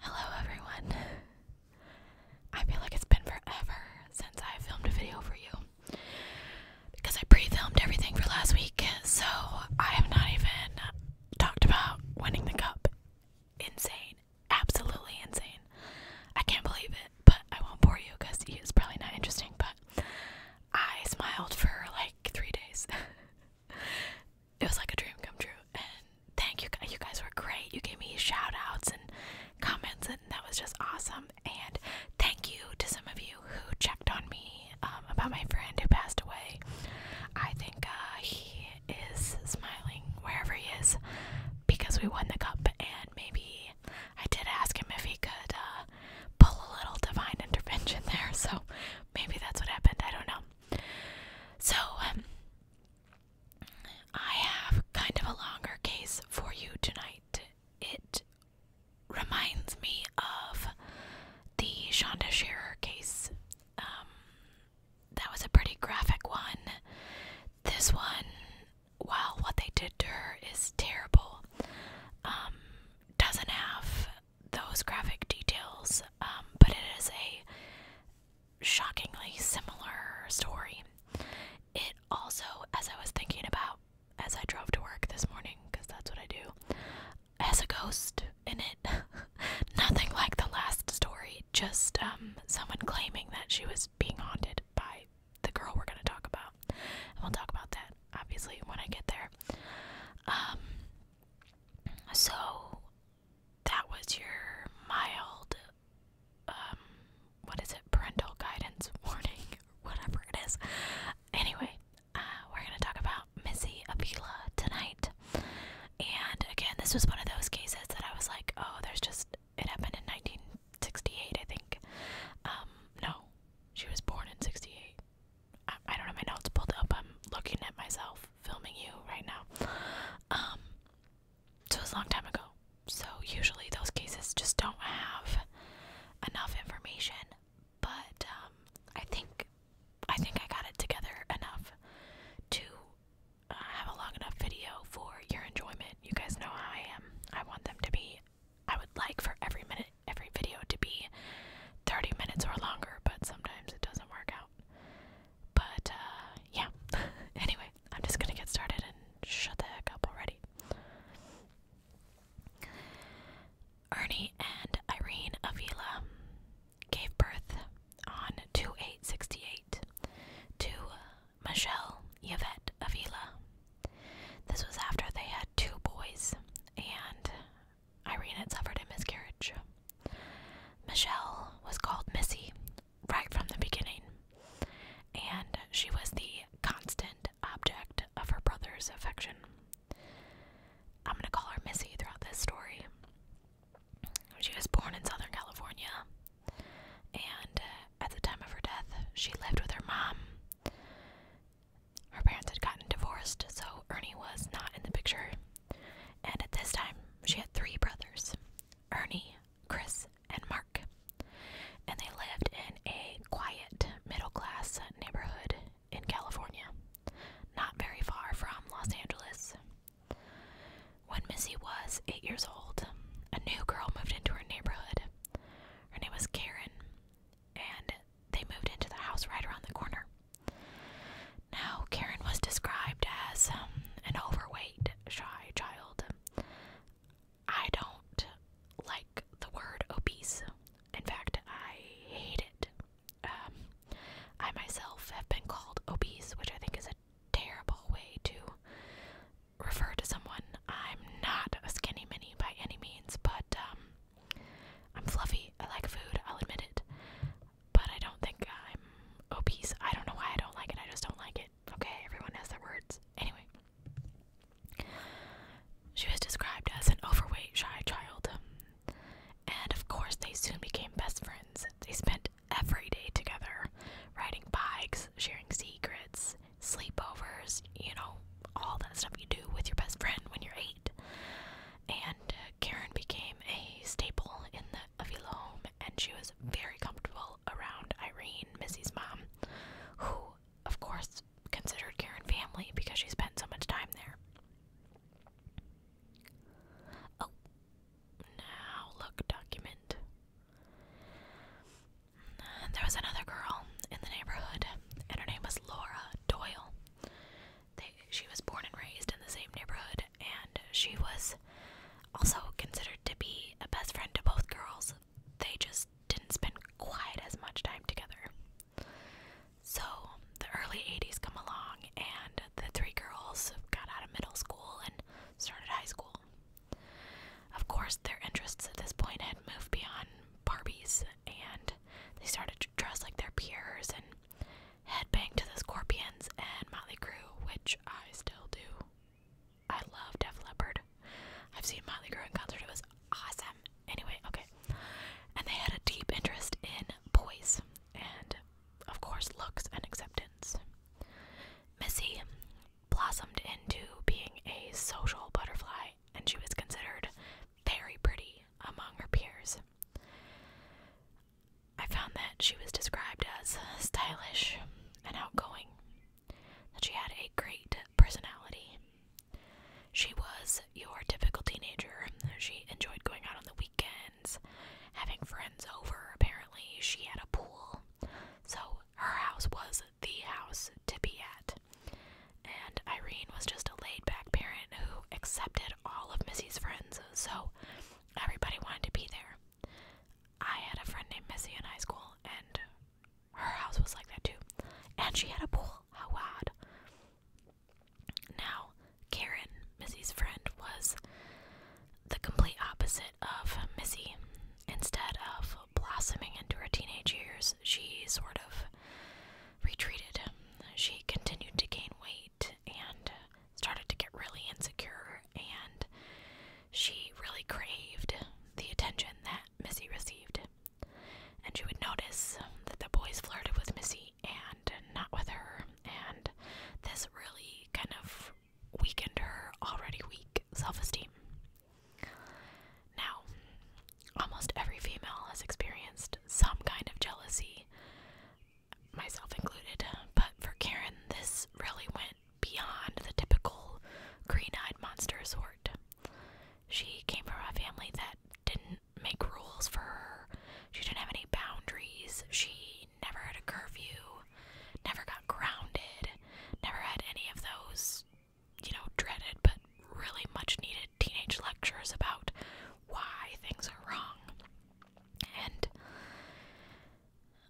Hello everyone. I feel like it's been forever since I filmed a video for you because I pre-filmed everything for last week, so I have not even talked about winning the cup. Insane. Absolutely insane. I can't believe it, but I won't bore you because it's probably not interesting, but I smiled for like three days. it was like a dream come true. And thank you guys. You guys were great. You gave me shout outs and comments, and that was just awesome. And thank you to some of you who checked on me um, about my friend who passed away. I think uh, he is smiling wherever he is because we won the cup, and maybe I did ask him if he could uh, pull a little divine intervention there. So maybe that's what happened. I don't know. So, um, I have kind of a longer case for you tonight. It reminds me of the Shonda Scherer case. Um, that was a pretty graphic one. This one, while what they did to her is terrible, um, doesn't have those graphic details, um, but it is a shockingly similar story. It also, as I was thinking about as I drove to work this morning, because that's what I do, has a ghost in it. Nothing like the last story, just um, someone claiming that she was being haunted by the girl we're going to talk about. And we'll talk about that, obviously, when I get there. Um, so, that was your mild, um, what is it, parental guidance warning, whatever it is. Anyway, uh, we're going to talk about Missy Avila tonight. And again, this was one of those cases that I was like, oh, there's just, it happened in 1968, I think. Um, no, she was born in 68. I, I don't have my notes pulled up. I'm looking at myself filming you right now. Um, so it's a long time ago. So usually those cases just don't have enough information, but um, I think I think I got it together enough to uh, have a long enough video for your enjoyment. You guys know how I am. I want them to be. I would like for every minute, every video to be 30 minutes or longer, but sometimes it doesn't work out. But, uh, yeah. anyway, I'm just gonna get started and shut the heck up already. Ernie and Irene Avila gave birth on 2868 to Michelle Yvette Avila. This was after they had two boys, and Irene had suffered a miscarriage. Michelle was called Missy right from the beginning, and she was the constant object of her brother's affection. I'm going to call her Missy throughout this story. She was born in Southern California, and uh, at the time of her death, she lived with her mom. Her parents had gotten divorced, so Ernie was not in the picture and at this time she had three brothers Ernie, Chris, and Mark. And they lived in a quiet, middle class neighborhood in California, not very far from Los Angeles. When Missy was eight years old, a new girl moved into her neighborhood. Her name was Karen, and they moved into the house right around the corner. Now, Karen was described as um, an overweight, shy child. I don't like the word obese. In fact, I hate it. Um, I myself have been called obese, which I think is a terrible way to refer to someone. I'm not a skinny mini by any means, but um, I'm fluffy. I like food, I'll admit it but I don't think I'm obese. I don't know why I don't like it. I just don't like it. Okay, everyone has their words. Anyway, she was described as an overweight, shy child. And of course, they soon became best friends. They spent every day together, riding bikes, sharing secrets, sleepovers, you know, all that stuff you do with your best friend when you're eight. And uh, Karen became a staple in the Avila home, and she was very comfortable around Irene, Missy's mom, who, of course, considered Karen family because she spent so much time there. Oh, now look, document. there was another girl in the neighborhood, and her name was Laura Doyle. she was born and raised in the same neighborhood and she was also considered to be a best friend to both girls. They just didn't spend quite as much time together. So the early 80s come along, and the three girls got out of middle school and started high school. Of course, their interests at this point had moved beyond Barbies, and they started to dress like their peers and Headbang to the Scorpions and Motley Crue, which I still do. I love Def Leppard. I've seen Motley Crue in concert, it was awesome. Anyway, okay. And they had a deep interest in boys and, of course, looks and acceptance. Missy blossomed into being a social butterfly, and she was considered very pretty among her peers. I found that she was described as stylish and outgoing, that she had a great personality. She was your typical teenager. She enjoyed going out on the weekends, having friends over, apparently. She had a pool. So her house was the house to be at. And Irene was just a laid back parent who accepted all of Missy's friends. So Everybody wanted to be there. I had a friend named Missy in high school, and her house was like that too. And she had a pool. How odd. Now, Karen, Missy's friend, was the complete opposite of Missy. Instead of blossoming into her teenage years, she sort of retreated. She continued to gain weight and uh, started to get really insecure, and she really craved the attention that Missy received. And she would notice that the boys flirted with Missy and not with her, and this really kind of weakened her already weak self esteem. Now, almost every female has experienced some kind of jealousy myself included. But for Karen, this really went beyond the typical green eyed monster sort. She came from a family that didn't make rules for her, she didn't have any boundaries, she never had a curfew, never got grounded, never had any of those, you know, dreaded but really much needed teenage lectures about why things are wrong. And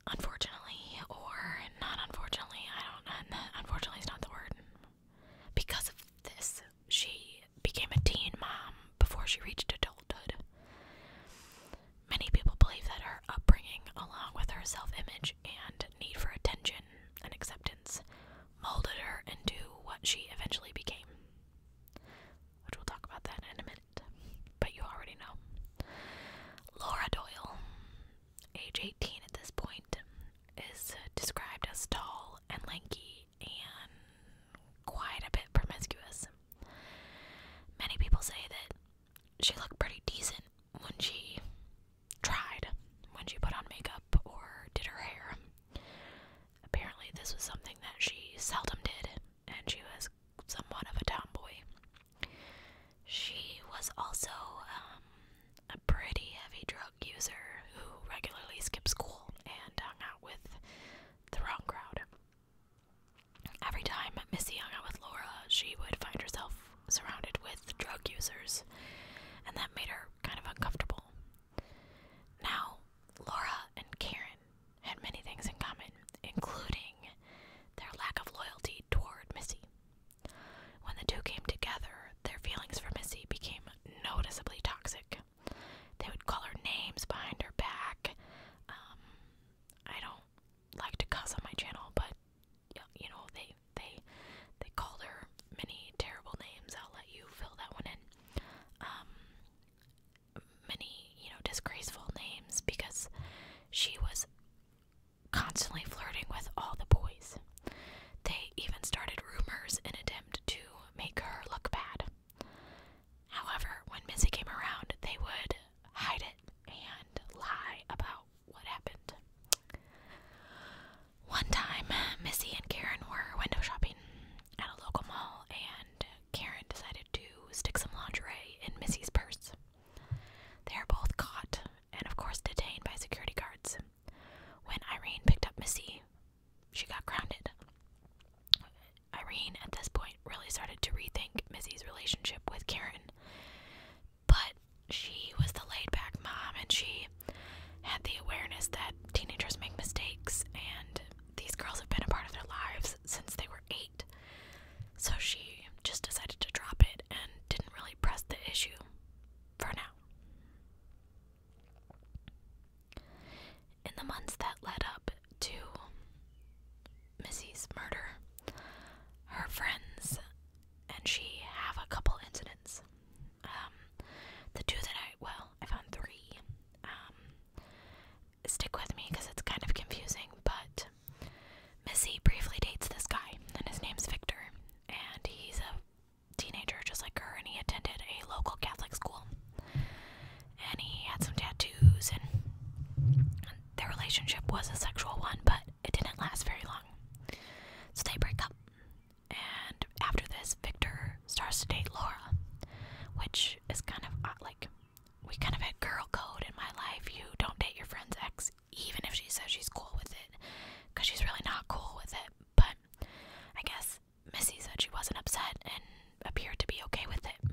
unfortunately, or not unfortunately, I don't, unfortunately is not the word. Because of this, she became a teen mom before she reached adulthood. Many people believe that her upbringing, along with her self image and need for attention and acceptance, molded her into what she eventually became. Which we'll talk about that in a minute but you already know. Laura Doyle, age 18 at this point, is described as tall and lanky and quite a bit promiscuous. Many people say that she looked pretty decent when she tried, when she put on makeup or did her hair. Apparently, this was something that she seldom did and she was somewhat of a tomboy. She was also um, a pretty heavy drug user who regularly skipped school and hung out with the wrong crowd. Every time Missy hung out with Laura, she would find herself surrounded with drug users, and that made her kind of uncomfortable. Now, Laura and Karen had many things in common, including their lack of loyalty toward Missy. When the two came together, their feelings for Missy became noticeably toxic. They would call her names behind her back. Um, I don't like to cuss on my channel, but you know they they they called her many terrible names. I'll let you fill that one in. Um, many, you know, disgraceful names because she was constantly flirting with all the boys. They even started rumors in attempt to make her look bad. However, when Missy came around, they would hide it and lie about what happened. One time, Missy and Karen were window shopping at a local mall, and Karen decided to stick some lingerie in Missy's purse. They are both caught and, of course, detained by security guards. When Irene picked up Missy, she got grounded. Irene, at this point, really started to rethink Missy's relationship with Karen. But she was the laid back mom and she had the awareness that teenagers make mistakes and these girls have been a part of their lives since they were eight. So she just decided to drop it and didn't really press the issue for now. In the months that led up to Missy's murder, her friends and she have a couple incidents. Um, the two that I, well, I found three. Um, stick with me because it's kind of confusing, but Missy briefly dates this guy, and his name's Victor, and he's a teenager just like her, and he attended a local Catholic school. And he had some tattoos, and their relationship was a sexual one, but it didn't last very long. So they break up. And after this, Victor starts to date Laura, which is kind of like we kind of had girl code in my life. You don't date your friend's ex, even if she says she's cool with it, because she's really not cool with it. But I guess Missy said she wasn't upset and appeared to be okay with it.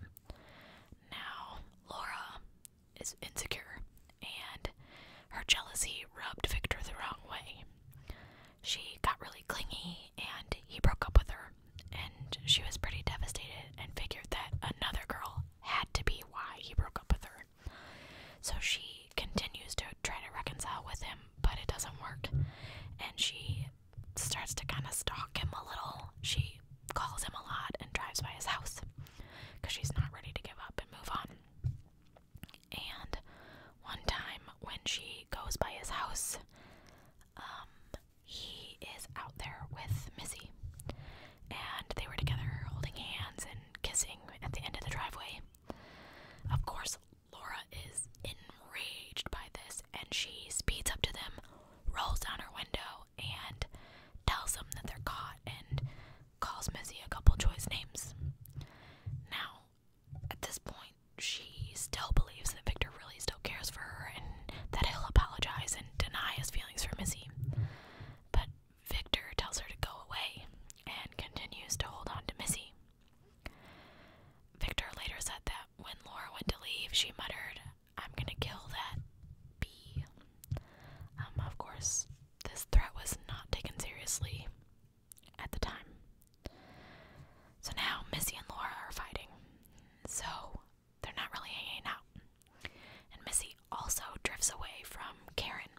Now, Laura is insecure, and her jealousy rubbed Victor the wrong way. She got really clingy and he broke up with her, and she was pretty devastated and figured that another girl had to be why he broke up with her. So she continues to try to reconcile with him, but it doesn't work, and she starts to kind of stalk him a little. She calls him a lot and drives by his house because she's not ready to give up and move on. And one time when she goes by his house, um, he is out there with Missy. And they were together holding hands and kissing at the end of the driveway. Of course, Laura is enraged by this and she speeds up to them, rolls down her window, and tells them that they're caught and calls Missy a couple choice names. Now, at this point, she still believes that Victor really still cares for her and that he'll apologize and deny his feelings for Missy. But Victor tells her to go away and continues to hold on to Missy. Victor later said that when Laura went to leave, she muttered, I'm gonna kill that bee. Um, of course, this threat was not taken seriously at the time. So now Missy and Laura are fighting. So they're not really hanging out. And Missy also drifts away from Karen.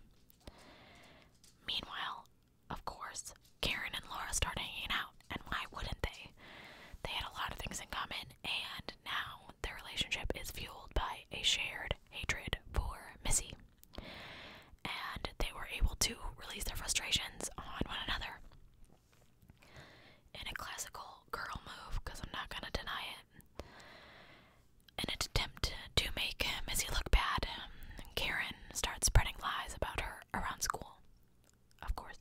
Meanwhile, of course, Karen and Laura start hanging out. And why wouldn't they? They had a lot of things in common, and now their relationship is fueled by a shared hatred for Missy. And they were able to release their frustrations on one another. In a classical girl move, because I'm not gonna deny it, in an attempt to make him as he look bad, um, Karen starts spreading lies about her around school. Of course.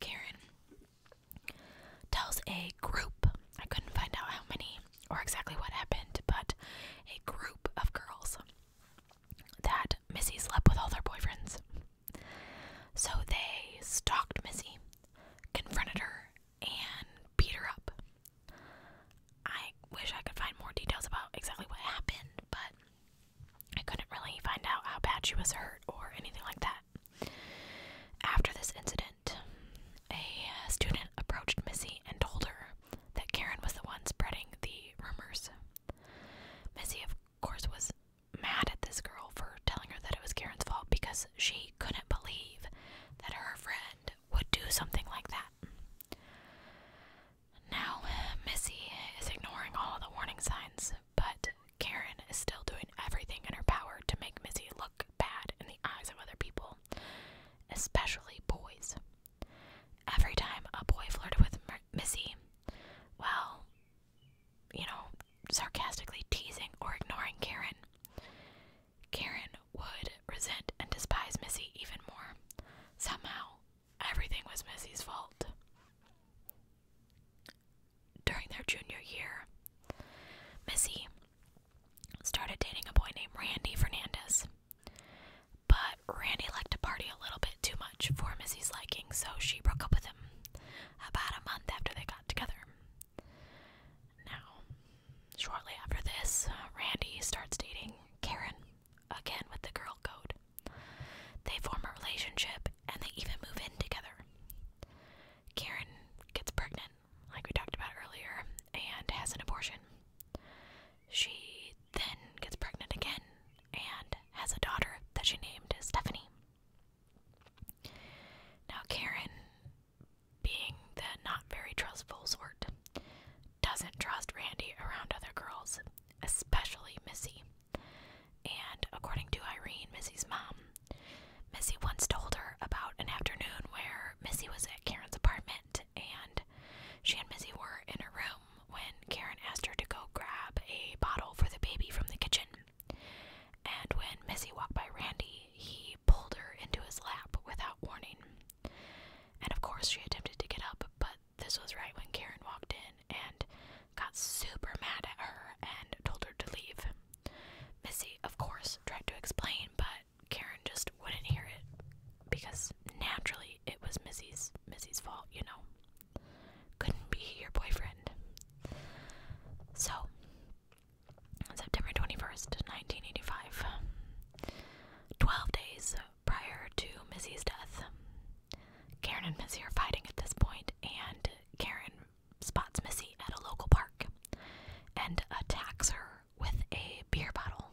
Karen tells a group, I couldn't find out how many or exactly what happened, but a group of girls that Missy slept with all their boyfriends. So they stalked Missy, confronted her, and beat her up. I wish I could find more details about exactly what happened, but I couldn't really find out how bad she was hurt or anything like that. After this incident, a student approached Missy and told her that Karen was the one spreading the rumors. Missy, of course, was mad at this girl for telling her that it was Karen's fault because she couldn't believe that her friend would do something like that. Now, Missy is ignoring all the warning signs, but Karen is still doing everything in her power to make Missy look bad in the eyes of other people, especially boys. Every time a boy flirted with Missy, well, you know, sarcastically teasing or ignoring Karen, Karen would resent and despise Missy even more. Somehow, everything was Missy's fault. During their junior year, Missy started dating a boy named Randy Fernandez. But Randy liked to party a little bit too much for Missy's liking, so she broke up with him about a month after they got together. Now, shortly after this, Randy starts dating Karen, again with the girl code. They form a relationship and they even move in together. Karen gets pregnant, like we talked about earlier, and has an abortion. She then gets pregnant again and has a daughter that she named Stephanie. Now, Karen, being the not very trustful sort, doesn't trust Randy around other girls, especially Missy. And according to Irene, Missy's mom, Missy once told her about an afternoon where Missy was at Karen's apartment and she and Missy were in her room when Karen asked her to go grab a bottle for the baby from the kitchen. And when Missy walked by Randy, he pulled her into his lap without warning. And of course, she attempted to get up, but this was right when Karen walked in and got super mad at her and told her to leave. Missy, of course, tried to explain, but Karen just wouldn't hear it because naturally it was Missy's Missy's fault, you know. Couldn't be your boyfriend. So on September 21st, 1985, 12 days prior to Missy's death, Karen and Missy are fighting at this point, and Karen spots Missy at a local park and attacks her with a beer bottle.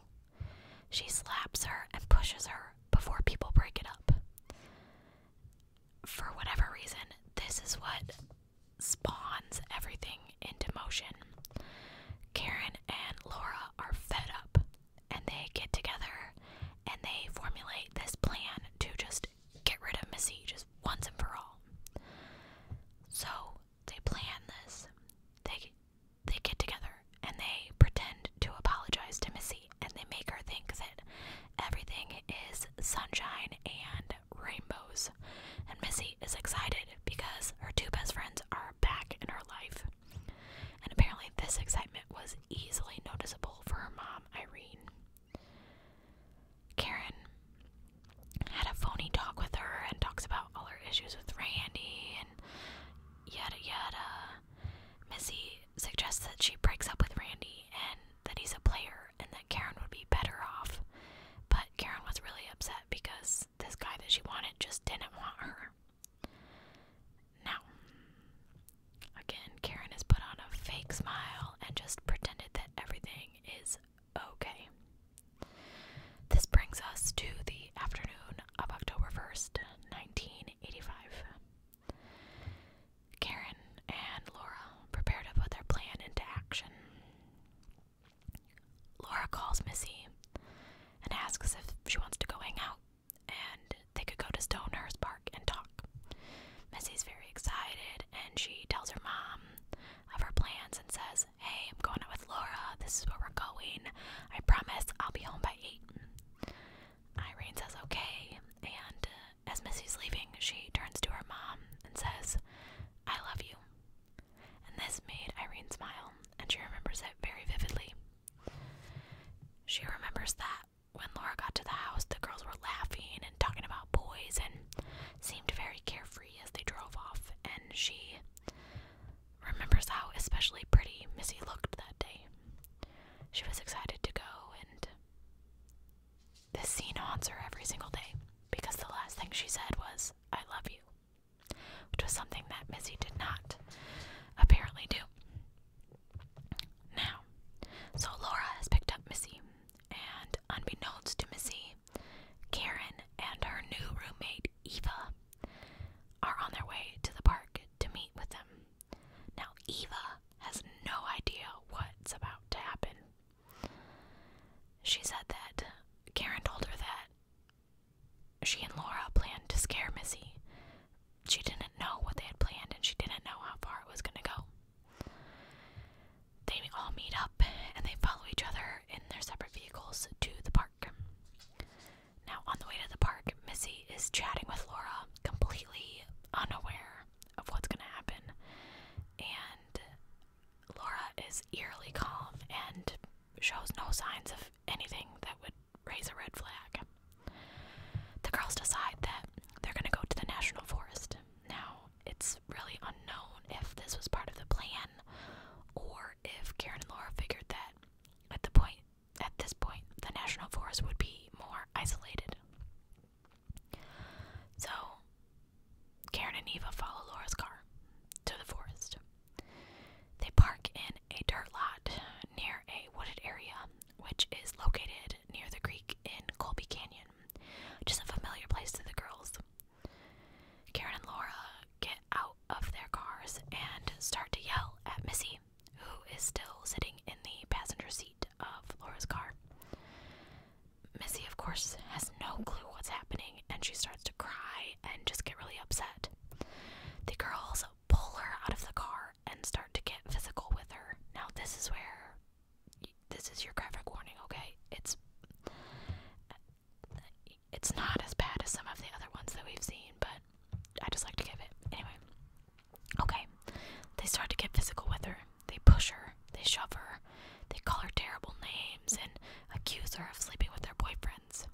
She slaps her and pushes her before people break it up. For whatever reason, this is what spawns everything into motion. Karen and Laura are fed up and they get together and they formulate this plan to just get rid of Missy just once and for all. So they plan this. They they get together and they pretend to apologize to Missy and they make her think that everything is sunshine and rainbows. And Missy is excited because her two best friends are back in her life. And apparently this excitement was easily noticeable for her mom, Irene. Karen had a phony talk with her and talks about all her issues with Randy and yada yada. Missy suggests that she breaks up with Randy and that he's a player and that Karen would be better off. But Karen was really upset because this guy that she wanted just didn't want her. Now, again, Karen has put on a fake smile and just pretended that everything is okay. This brings us to the afternoon of October 1st, 1985. Karen and Laura prepare to put their plan into action. Laura calls Missy and asks if she wants to go hang out and they could go to Stonehurst Park and talk. Missy's very excited and she tells her mom of her plans and says Hey, I'm going out with Laura. This is where we're going. I promise I'll be home by 8. Irene says, Okay. And uh, as Missy's leaving, she turns to her mom and says, I love you. And this made Irene smile, and she remembers it very vividly. She remembers that when Laura got to the house, the girls were laughing and talking about boys and seemed very carefree as they drove off, and she remembers how especially pretty Missy looked that day. She was excited to go, and this scene haunts her every single day because the last thing she said was, I love you, which was something that Missy did not apparently do. Now, so Laura has picked up Missy, and unbeknownst to Missy, Karen and her new roommate Eva are on their way to the park to meet with them. Now, Eva has no idea what's about to happen. She said that Karen told her that she and Laura planned to scare Missy. She didn't know what they had planned and she didn't know how far it was going to go. They all meet up and they follow each other in their separate vehicles to the park. Now, on the way to the park, Missy is chatting with Laura, completely unaware of what's going to happen. And Laura is eerily calm and shows no signs of anything that would raise a red flag. The girls decide that they're going to go to the National Forest. Now, it's really unknown if this was part of the plan or if Karen and Laura figured that at the point at this point, the national forest would be more isolated. So Karen and Eva follow Laura's car to the forest. They park in a dirt lot near a wooded area, which is located near the creek in Colby Canyon, which is a familiar place to the girls. Karen and Laura get out of their cars and start to yell at Missy, who is still sitting in the passenger seat of Laura's car. Missy, of course, has no clue what's happening and she starts to cry and just get really upset. The girls pull her out of the car and start to get physical with her. Now, this is where this is your graphic warning, okay? It's it's not as bad as some of the other ones that we've seen, but I just like to give it. Anyway. Okay. They start to get physical with her. They push her. They shove her. They call her terrible names and accuse her of sleeping with their boyfriends.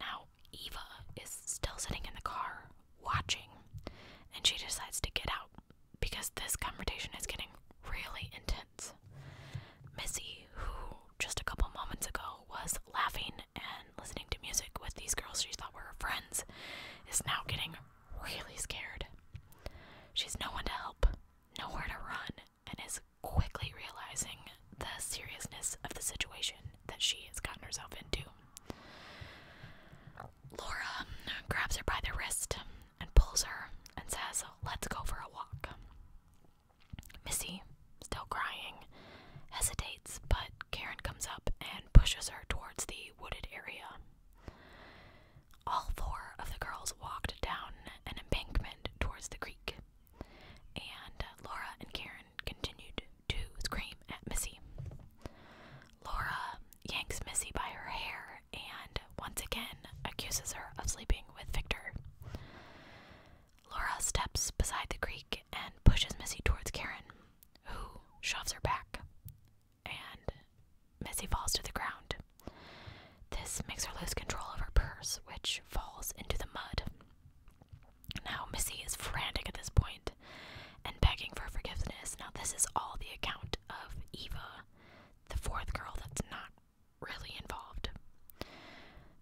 Now, Eva is still sitting in the car, watching, and she decides to get out because this confrontation is getting really intense. Missy, who just a couple moments ago was laughing and listening to music with these girls she thought were her friends is now getting really scared. She's no one to help, nowhere to run, and is quickly realizing the seriousness of the situation that she has gotten herself into. Laura grabs her by the wrist and pulls her and says, Let's go for a walk. Missy, still crying, hesitates, but Karen comes up and pushes her towards the wooded area. All four of the girls walked down an embankment towards the creek, and Laura and Karen continued to scream at Missy. Laura yanks Missy by her hair and once again accuses her of sleeping with Victor. Laura steps beside the creek and pushes Missy towards Karen, who shoves her back, and Missy falls to the ground. This makes her lose control of her purse, which falls into the mud. Now, Missy is frantic at this point and begging for forgiveness. Now, this is all the account of Eva, the fourth girl that's not really involved.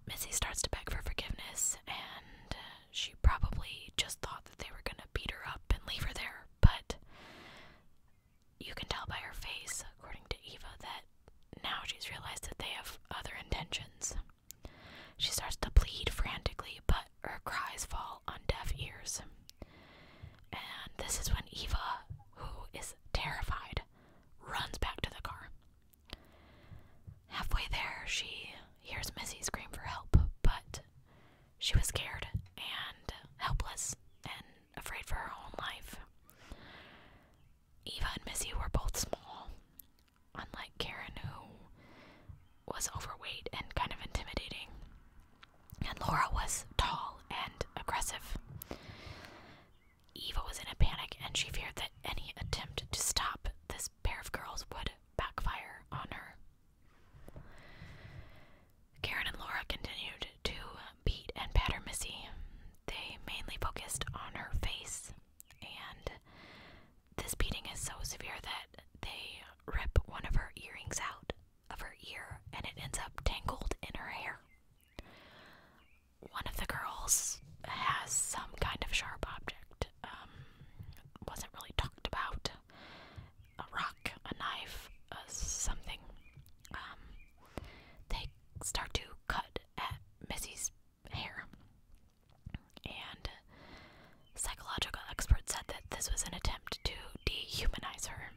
Missy starts to beg for forgiveness, and uh, she probably just thought that they were going to beat her up and leave her there. But you can tell by her face, according to Eva, that now she's realized that they have other intentions. She starts to plead frantically, but her cries fall on deaf ears. And this is when Eva, who is terrified, runs back to the car. Halfway there, she hears Missy scream for help, but she was scared and helpless and afraid for her own life. Eva and Missy were both small, unlike Karen, who was overweight and kind of intimidating. And Laura was tall and aggressive. Eva was in a panic and she feared that any attempt to stop this pair of girls would backfire on her. Karen and Laura continued to beat and batter Missy. They mainly focused on her face, and this beating is so severe that they rip one of her earrings out of her ear and it ends up tangled in her hair one of the girls has some kind of sharp object. Um, wasn't really talked about. A rock, a knife, uh, something. Um, they start to cut at Missy's hair. And psychological experts said that this was an attempt to dehumanize her.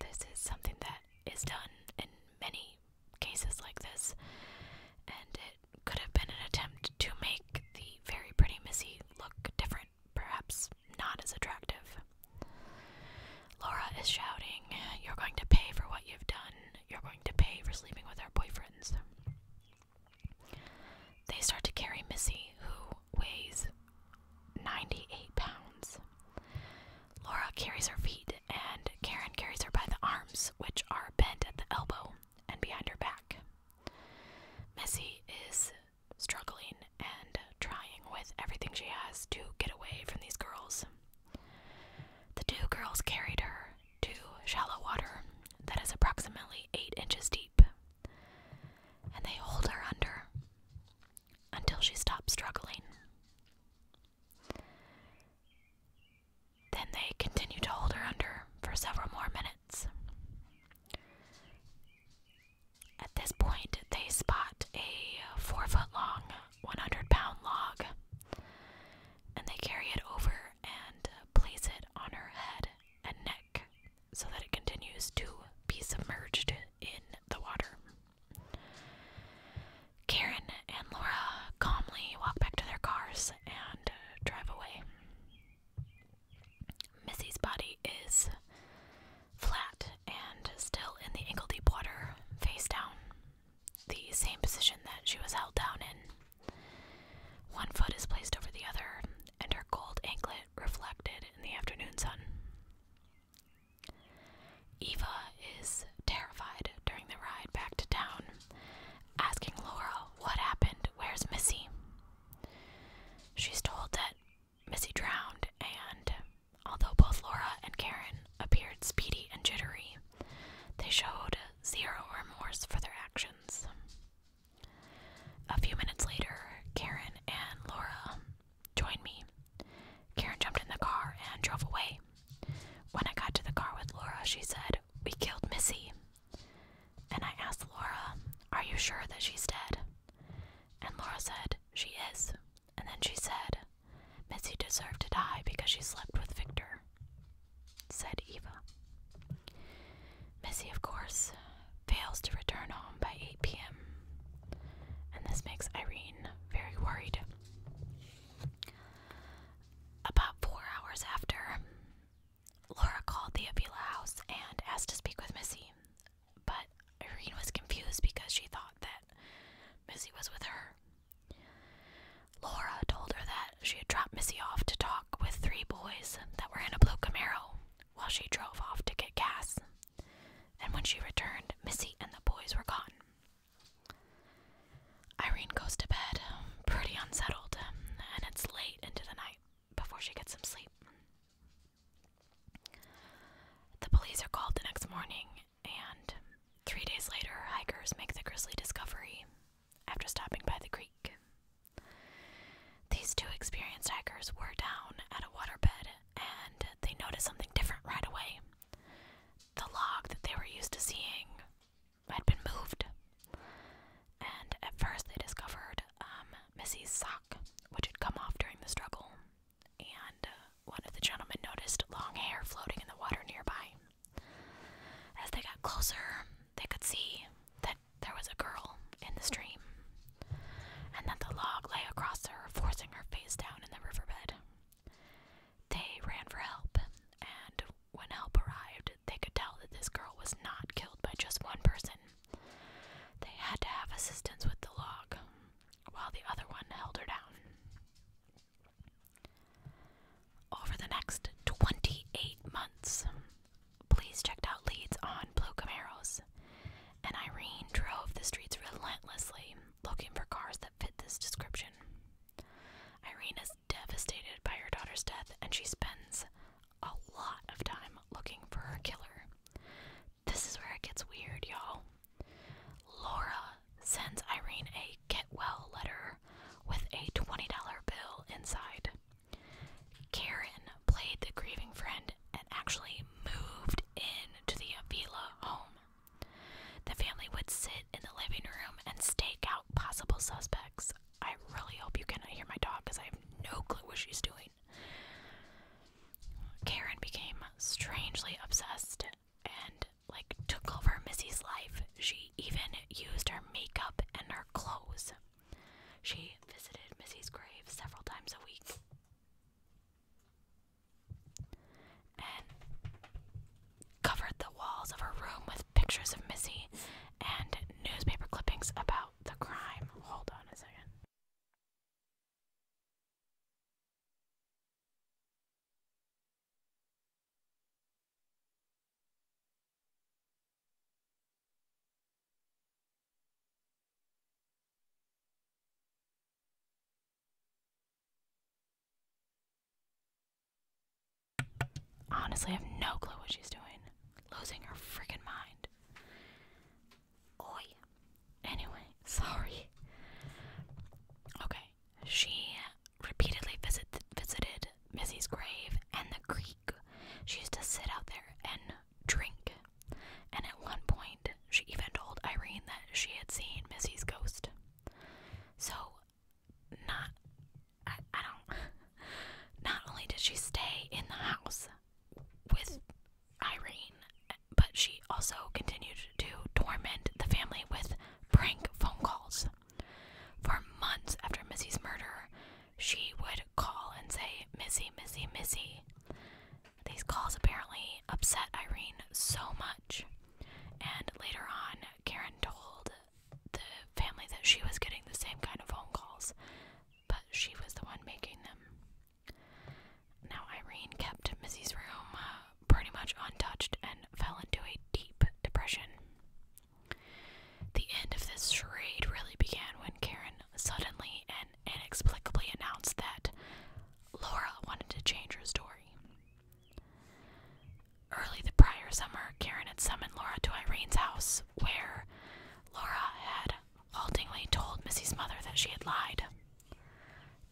This is something that is done in many cases like this, and it could have been an attempt to make the very pretty Missy look different, perhaps not as attractive. Laura is shouting, You're going to pay for what you've done. You're going to pay for sleeping with our boyfriends. They start to carry Missy, who weighs 98 pounds. Laura carries her feet and Karen carries her by the arms, which are bent at the elbow and behind her back. Missy is struggling and trying with everything she has to get away from these girls. The two girls carried her to shallow water that is approximately eight inches deep, and they hold her under until she stops struggling. Then they continue to hold her under for several more minutes. At this point, they spot a four foot long, 100 pound log and they carry it over and place it on her head and neck so that it continues to be submerged in the water. Karen and Laura calmly walk back to their cars and uh, drive away. Missy's body is flat and still in the ankle deep water, face down, the same position that she was held down in. One foot is placed over the other, and her gold anklet reflected in the afternoon sun. Eva is terrified during the ride back to town asking Laura what happened, where's Missy. She's told that Missy drowned, and although both Laura and Karen appeared speedy and jittery, they showed zero remorse for their actions. A few minutes later, Karen and Laura joined me. Karen jumped in the car and drove away. When I got to the car with Laura, she said, We killed Missy. And I asked Laura, Are you sure that she's dead? And Laura said, She is. And then she said, Missy deserved to die because she slept with Victor, said Eva. Missy, of course, fails to return home by 8 p.m., and this makes Irene very worried. About four hours after, Laura called the Avila house and asked to speak with Missy, but Irene was confused because she thought that Missy was with her. Laura told her that she had dropped Missy off to talk with three boys that were in a blue Camaro while she drove off to get gas, and when she returned, Missy and the boys were gone. Irene goes to bed, um, pretty unsettled, um, and it's late into the night before she gets some sleep. The police are called the next morning, and three days later, hikers make the grisly discovery after stopping by the creek. These two experienced hikers were down at a waterbed and they noticed something different right away. The log that they were used to seeing had been moved. And at first, they discovered um, Missy's sock, which had come off during the struggle. And uh, one of the gentlemen noticed long hair floating in the water nearby. As they got closer, they could see that there was a girl in the stream, and that the log lay across her, forcing her face down in the riverbed. They ran for help, and when help arrived, they could tell that this girl was not killed by just one person. They had to have assistance with the log, while the other one held her down. Over the next 28 months, police checked out leads on Blue Camaros, and Irene drove the streets relentlessly looking for cars that fit this description. Irene is devastated by her daughter's death and she spends a lot of time looking for her killer. This is where it gets weird, y'all. Laura sends Irene a get well letter with a $20 bill inside. Karen played the grieving friend and actually moved in to the Avila home. The family would sit in the living room and stake out possible suspects. I really hope you cannot hear my dog because I have no clue what she's doing. Karen became strangely obsessed and like took over Missy's life. She even used her makeup and her clothes. She visited Missy's grave several times a week covered the walls of her room with pictures of Missy and newspaper clippings about the crime. Hold on a second. Honestly, I have no clue what she's doing. Losing her freaking mind. Oi. Anyway, sorry. Okay, she repeatedly visited Missy's grave and the creek. She used to sit out there and drink. And at one point, she even told Irene that she had seen Missy's ghost. So not I, don't not only did she stay in the house with Irene, but she also continued to torment the family with prank phone calls. For months after Missy's murder, she would call and say, Missy, Missy, Missy. These calls apparently upset Irene so much. And later on, Karen told the family that she was getting the same kind of phone calls, but she was the one making them. Now, Irene kept Missy's room uh, pretty much untouched and fell into a deep depression. The end of this charade really began when Karen suddenly and inexplicably announced that Laura wanted to change her story. Early the prior summer, Karen had summoned Laura to Irene's house, where Laura had haltingly told Missy's mother that she had lied.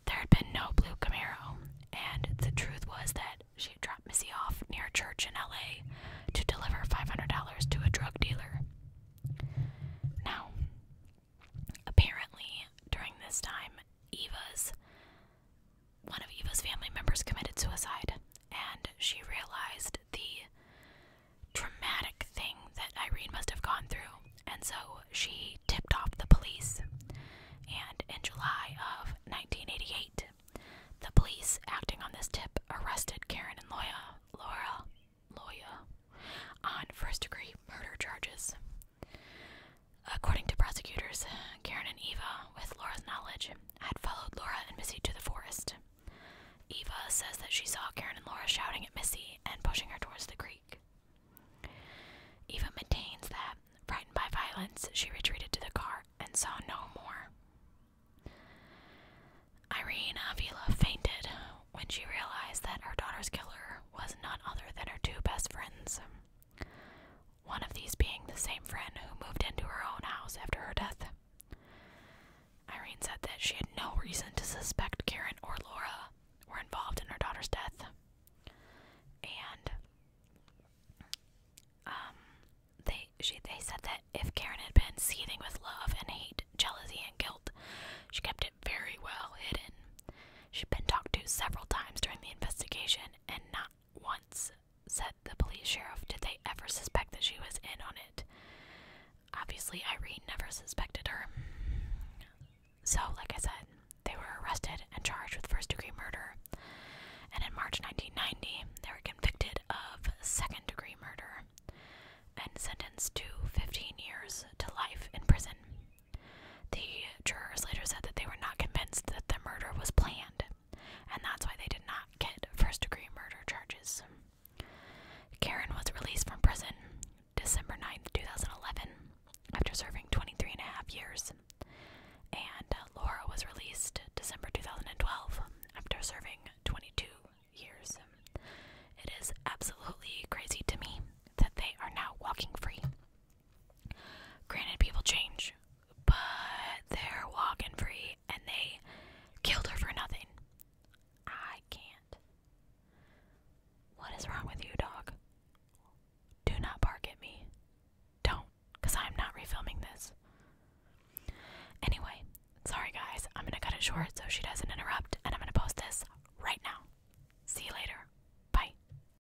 There had been no blue Camaro, and the truth was that she had dropped Missy off near a church in LA to deliver $500 to a drug dealer. Now, apparently, during this time, Eva's one of Eva's family members committed suicide, and she realized the traumatic thing that Irene must have gone through, and so she tipped off the police. And in July of 1988, the police, acting on this tip, arrested Karen and Loya, Laura, Loya, on first-degree murder charges. According to prosecutors, Karen and Eva, with Laura's knowledge, had followed Laura and Missy to the forest. Eva says that she saw Karen and Laura shouting at Missy and pushing her towards the creek. Eva maintains that, frightened by violence, she retreated to the car and saw no more. Irene Vila fainted when she realized that her daughter's killer was none other than her two best friends one of these being the same friend who moved into her own house after her death. Irene said that she had no reason to suspect Karen or Laura were involved in her daughter's death. And um they she they said that if Karen had been seething with love and hate, jealousy and guilt, she kept it very well hidden. She'd been talked to several times during the investigation and not once said the police sheriff, did they ever suspect that she was in on it? Obviously, Irene never suspected her. So, like I said, they were arrested and charged with first degree murder. And in March 1990, they were convicted of second degree murder and sentenced to 15 years to life in prison. The jurors later said that they were not convinced that the murder was planned, and that's why they did not get first degree murder charges. Karen was released from prison December 9, 2011, after serving 23 and a half years, and uh, Laura was released December 2012 after serving 22 years. It is absolutely crazy to me that they are now walking free. Granted, people change, but they're walking free and they killed her for nothing. I can't. What is wrong with you, dog? Do not bark at me. Don't, because I'm not refilming this. Anyway, sorry guys, I'm gonna cut it short so she doesn't interrupt, and I'm gonna post this right now. See you later. Bye.